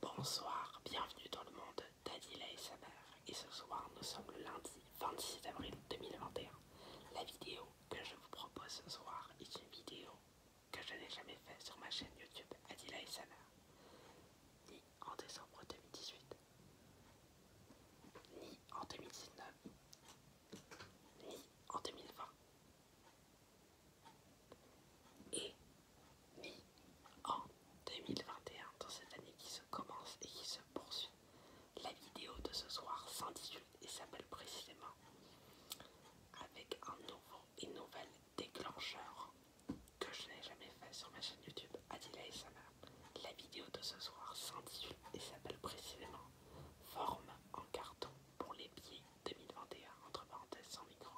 Bonsoir, bienvenue dans le monde d'Adila et sa mère. Et ce soir, nous sommes le lundi 26 avril 2021. La vidéo que je vous propose ce soir est une vidéo que je n'ai jamais faite sur ma chaîne YouTube Adila et sa mère, ni en décembre 2018, ni en 2019, ni en 2020, et ni en 2021 dans cette année qui se commence et qui se poursuit. La vidéo de ce soir 118 et s'appelle précisément avec un nouveau et nouvel déclencheur que je n'ai jamais fait sur ma chaîne YouTube Adila et Sama. La vidéo de ce soir 118 et s'appelle précisément Forme en carton pour les pieds 2021 entre parenthèses sans micro.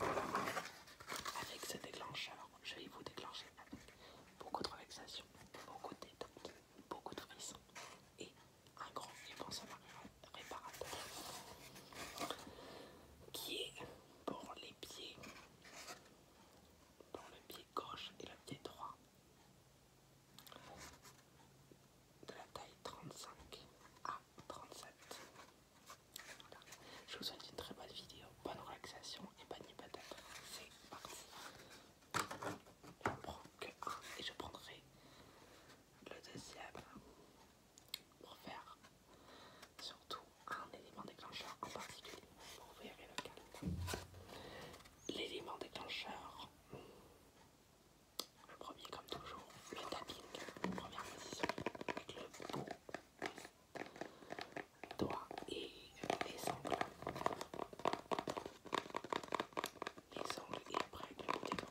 Avec ce déclencheur, je vais vous déclencher beaucoup de relaxation, beaucoup de détente, beaucoup de frissons et un grand et réparateur qui est pour les pieds, pour le pied gauche et le pied droit de la taille 35 à 37. Je vous souhaite une très bonne vidéo, bonne relaxation et bonne hypothèse, C'est parti. Je prends que un et je prendrai le deuxième pour faire surtout un élément déclencheur en particulier. Vous calme L'élément déclencheur. Le premier comme toujours, le tapping, première position, avec le doigts et les ongles. Les ongles imprègnent le démon.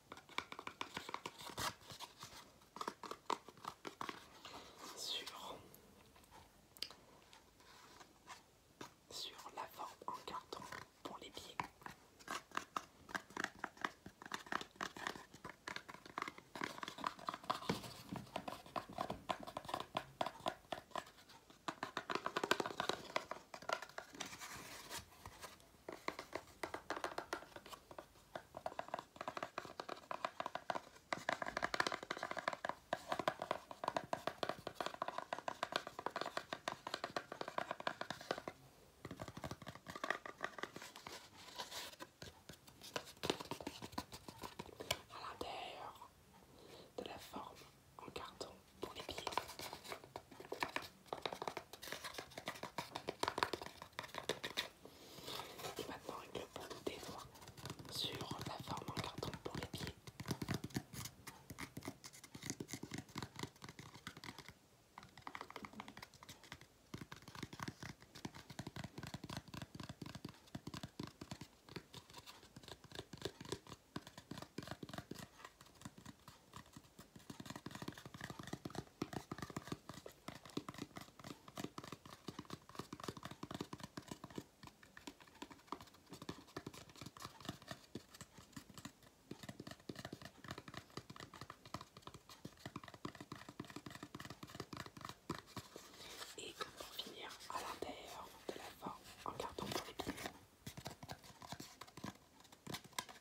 sur, sur la forme en carton pour les pieds. À l'intérieur de la forme en carton, pour les pieds. Et maintenant avec le bout des sur la forme en carton pour les pieds. Et pour finir, à l'intérieur de la forme, en gardant pour les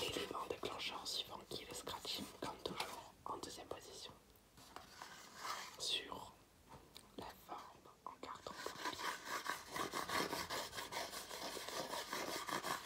L'élément déclencheur suivant qui est le scratching comme toujours en deuxième position. Sur la forme en carton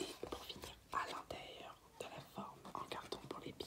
Et pour finir, à l'intérieur de la forme en carton pour les pieds.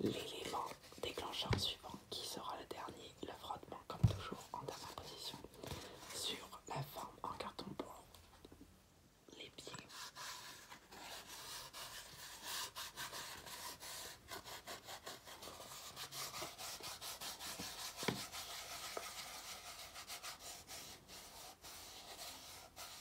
l'élément déclencheur suivant qui sera le dernier, le frottement comme toujours en dernière position sur la forme en carton pour les pieds.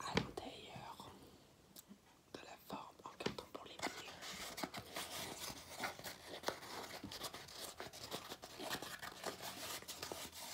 À l'intérieur de la forme en carton pour les pieds.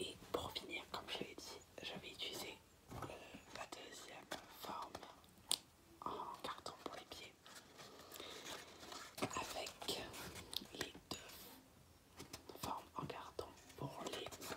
Et pour finir, comme je l'ai dit, je vais utiliser euh, la deuxième forme en carton pour les pieds avec les deux formes en carton pour les pieds.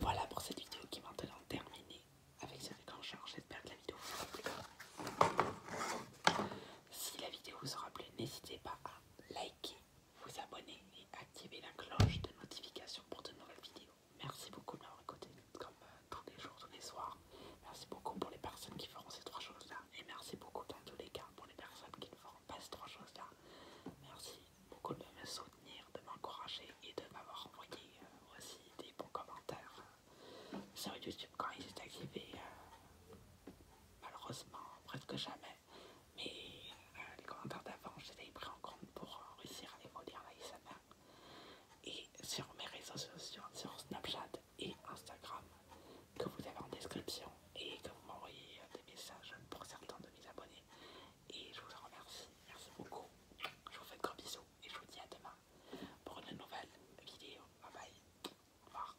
Voilà pour cette vidéo qui va maintenant terminée avec ce en charge. J'espère que la vidéo vous aura plu. Si la vidéo vous aura plu, n'hésitez pas à liker, vous abonner et activer la cloche de notification pour de nouvelles vidéos. Merci beaucoup de m'avoir écouté, comme euh, tous les jours, tous les soirs. Merci beaucoup pour les personnes qui feront ces trois choses-là. Et merci beaucoup dans tous les cas pour les personnes qui ne feront pas ces trois choses-là. Merci beaucoup de me soutenir, de m'encourager et de m'avoir envoyé euh, aussi des bons commentaires euh, sur YouTube quand ils étaient activés. malheureusement, presque jamais. Mais euh, les commentaires d'avant, je les pris en compte pour euh, réussir à les relire à main Et sur mes réseaux sociaux, sur Snapchat et Instagram, que vous avez en description et que vous m'envoyez euh, des messages pour certains de mes abonnés. Et je vous remercie. Merci beaucoup. Je vous fais de gros bisous et je vous dis à demain pour une nouvelle vidéo. Bye bye. Au revoir.